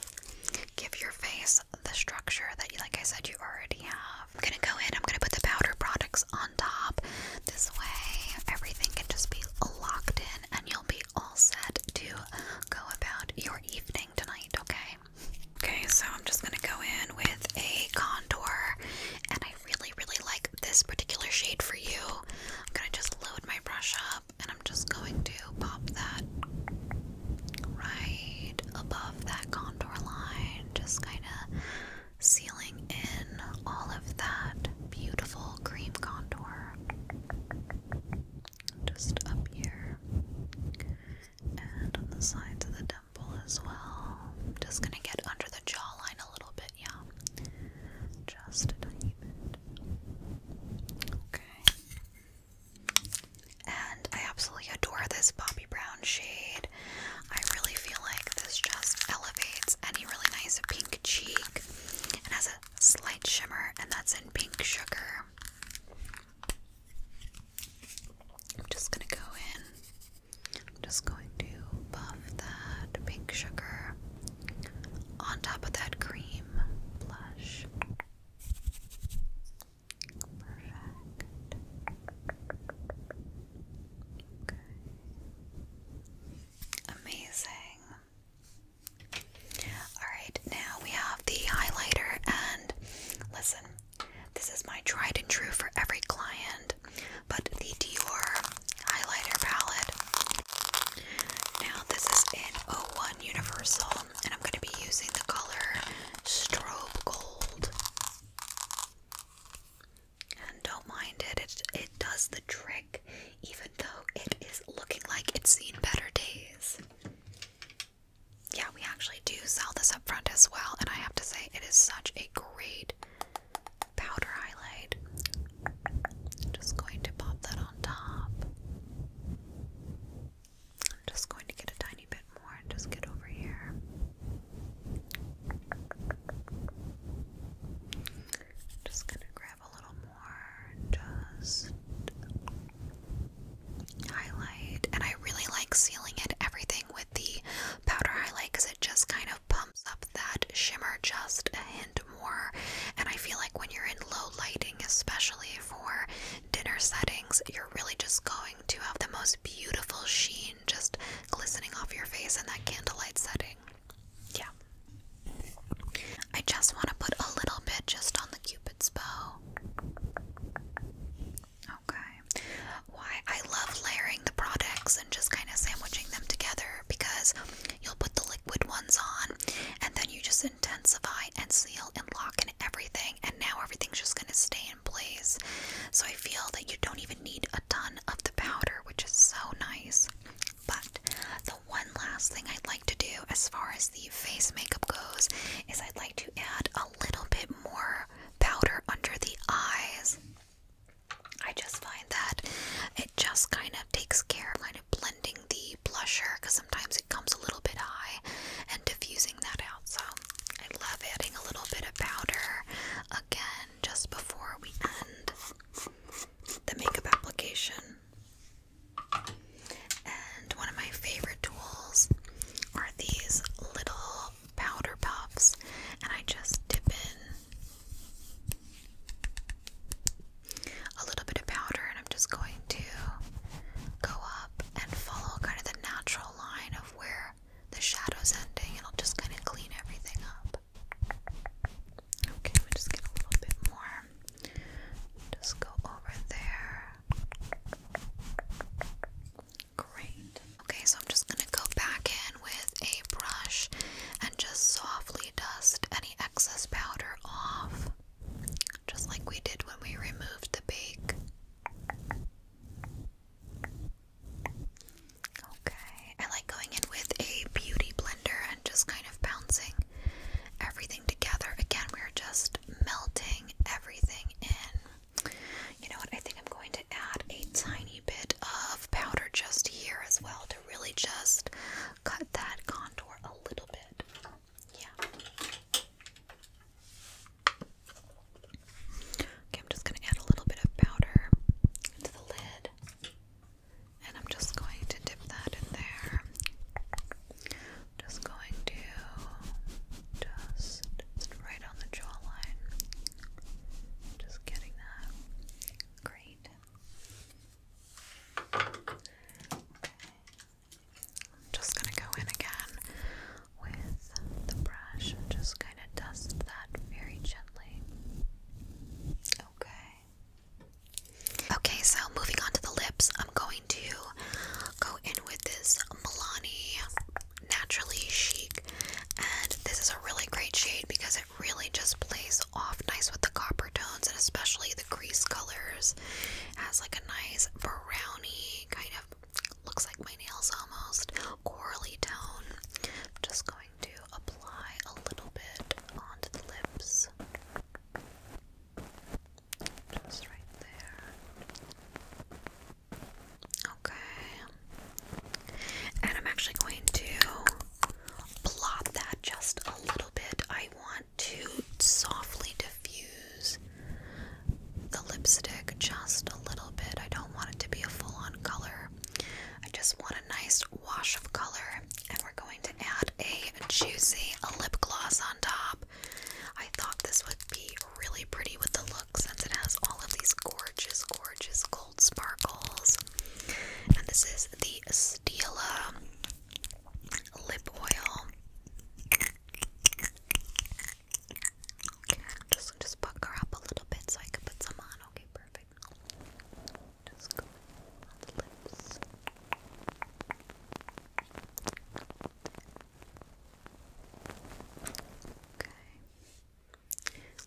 give your face the structure that, you, like I said, you already have. I'm gonna go in, I'm gonna put the powder products on top. This way, everything can just be locked in and you'll be all set to go about your evening tonight, okay? Okay, so I'm just gonna go in with a contour and I really, really like this particular shade for you. I'm gonna just load my brush up and I'm just going to pop that right above that contour line, just kind of sealing in all of that beautiful cream contour just up here and on the sides of the temple as well. i just gonna get under the jawline a little bit, yeah. Just a tiny bit. Okay. And I absolutely adore this Bobby Brown shade. I really feel like this just elevates any really nice pink cheek and has a slight shimmer, and that's in Pink Sugar. I'm just gonna go in. I'm just going to buff that pink sugar on top of that cream blush. Perfect. Okay. Amazing. Alright, now we have the highlighter, and listen, this is my tried and true for every client, but the Dior highlighter palette. Now, this is in 01 Universal, and I'm going to be using the color Strobe Gold. And don't mind it, it, it does the trick even though it is looking like it's seen better days. Yeah, we actually do sell this up front as well, and I have to say, it is such a great powder highlight. just going to pop that on top. I'm just going to get a tiny bit more just get over here. Just gonna grab a little more just highlight. And I really like sealing it everything with the powder highlight because it just kind of pumps up that shimmer just a hint more. And I feel like when you're in low lighting, especially for dinner settings, you're really just going to have the most beautiful sheen just glistening off your face in that candlelight setting. Yeah. I just want to put a little bit just on the Cupid's bow. Okay. Why I love layering the products and just kind of sandwiching them together because you'll put the liquid ones on and then you just intensify and seal and lock in everything and now everything's just going to stay in place. So I feel that you don't even need a ton of the powder, which is so nice. But the one last thing I'd like to do as far as the face makeup goes is I'd like to add a little bit more powder under the eyes. I just find that it just kind of takes care of kind of blending the blusher because sometimes it comes a little bit high and diffusing that out. So I love adding a little bit of powder again just before we end the makeup application. And one of my favorite tools are these little powder puffs, and I just dip in a little bit of powder, and I'm just going to go up and follow kind of the natural line of where the shadow's ending, and I'll just kind of clean everything up. Okay, we just get a little bit more. Just go over there. Great. Okay, so I'm just gonna go back in with a brush and just softly dust any excess powder off, just like we did when we removed the bake. Okay. I like going in with a beauty blender and just kind of bouncing everything together. Again, we're just melting everything in. You know what? I think I'm going to add a tiny bit of powder just here as well to really just cut that contour a little bit. Yeah. Okay, I'm just going to add a little bit of powder to the lid. And I'm just going to dip that in there. Just going to just, right on the jawline. Just getting that. Great. Okay. I'm just going to go in again with the brush and just kind of dust that very gently. Okay. Okay, so moving on to the lips, I'm going to go in with this Milani Naturally Chic, and this is a really great shade because it really just plays off nice with the copper tones and especially the crease colors. has like a nice brownie kind of looks like my nails almost corally tone. just going to apply a little bit onto the lips. Just right there. Okay. And I'm actually going to plop that just a little bit. I want to softly diffuse the lipstick just a little bit. I don't want it to be a full on color. I just want a nice wash of color, and we're going to add a juicy lip gloss on top. I thought this would be really pretty with the look since it has all of these gorgeous, gorgeous gold sparkles. And this is the Stila lip oil. just, just pucker up a little bit so I can put some on. Okay, perfect.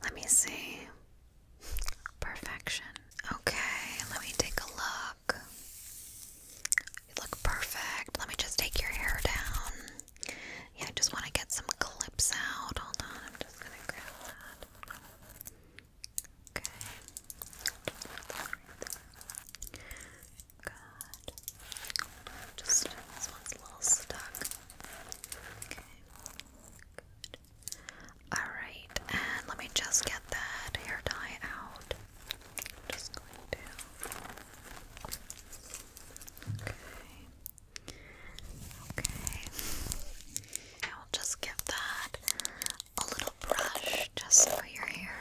Let me see. Perfection. Okay, let me take a look. You look perfect. Let me just take your hair down. Yeah, I just want to get some clips out. Hold on, I'm just gonna grab that. Okay. Good. Just this one's a little stuck. Okay. Good. Alright, and let me just get that hair dye out. just going to. Okay. Okay. I'll just get that a little brush just for your hair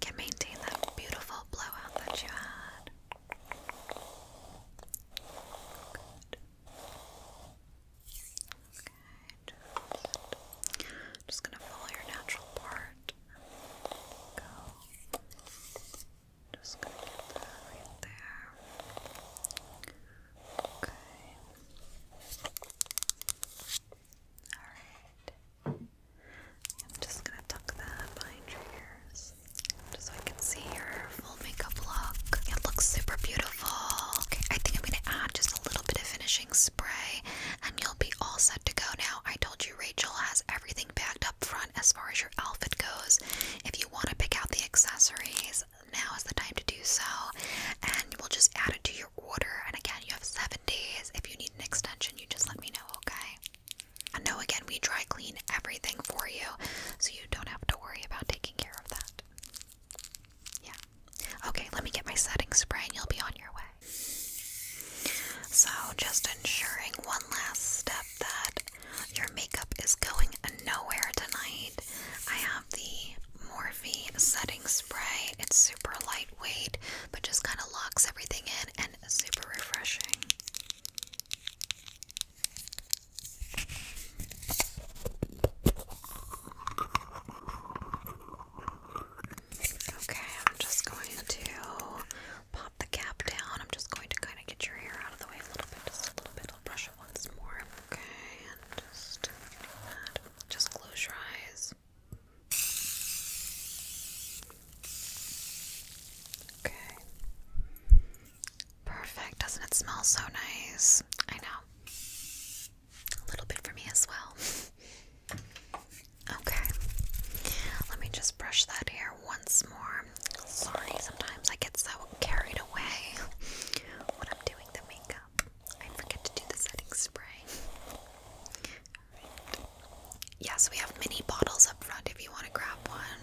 can maintain that beautiful blowout that you had. Okay, just, gonna follow your natural part. Go. Just gonna get that right there. Okay. Alright. I'm just gonna tuck that behind your ears. Just so I can see your full makeup look. It looks super beautiful. Okay, I think I'm gonna add just a little bit of finishing spray and you'll be all set to go now. I told you Rachel has everything packed up front as far as your outfit goes. If you want to pick out the accessories, now is the time to do so. And we'll just add it to your order. And again, you have seven days. If you need an extension, you just let me know, okay? I know, again, we dry clean everything for you, so you don't have to worry about taking care of that. Yeah. Okay, let me get my setting spray and you'll be on your way. So, just ensuring one last step that your makeup is going nowhere tonight. I the Morphe setting spray. It's super lightweight, but just kind of locks everything in and super refreshing. Okay, I'm just going to pop the cap down. I'm just going to kind of get your hair out of the way a little bit, just a little bit. i brush once more. Okay, and just just close your eyes. Okay. Perfect. Doesn't it smell so nice? I know. A little bit for me as well. Okay. Let me just brush that hair once more. Sorry, sometimes I get so carried away when I'm doing the makeup. I forget to do the setting spray. Yes, we have mini bottles up front if you want to grab one.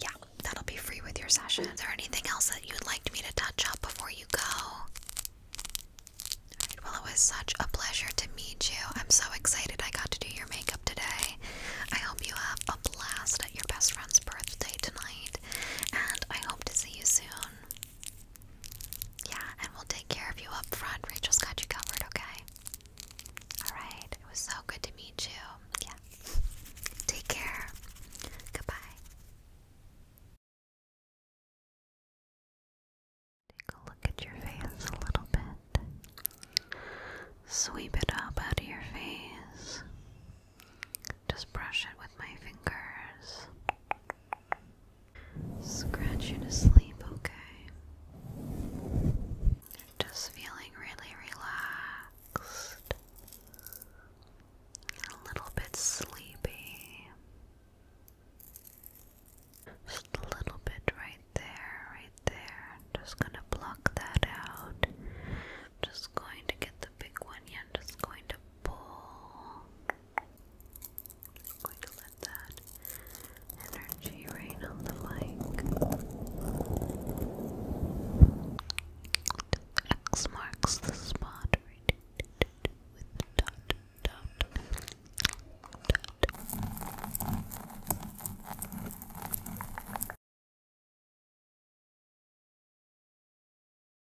Yeah, that'll be free with your session. Is there anything else that you'd like me to touch up before you go? well, it was such a pleasure to meet you. I'm so excited I got to do your makeup today. I hope you have a blast at your best friend's birthday tonight, and I hope to see you soon. Yeah, and we'll take care of you up front. Rachel's got you covered, okay? Alright, it was so good to meet you. Yeah. Take care. Goodbye. Take a look at your face a little bit. Sweep it up out of your face. Just brush it with my fingers. Scratch you to sleep, okay? Just feeling really relaxed. A little bit sleepy. Just a little bit right there, right there. Just gonna block that out. Just going to get the big one, yeah. Just going to pull. I'm going to let that energy rain on the mic. X marks the spot right with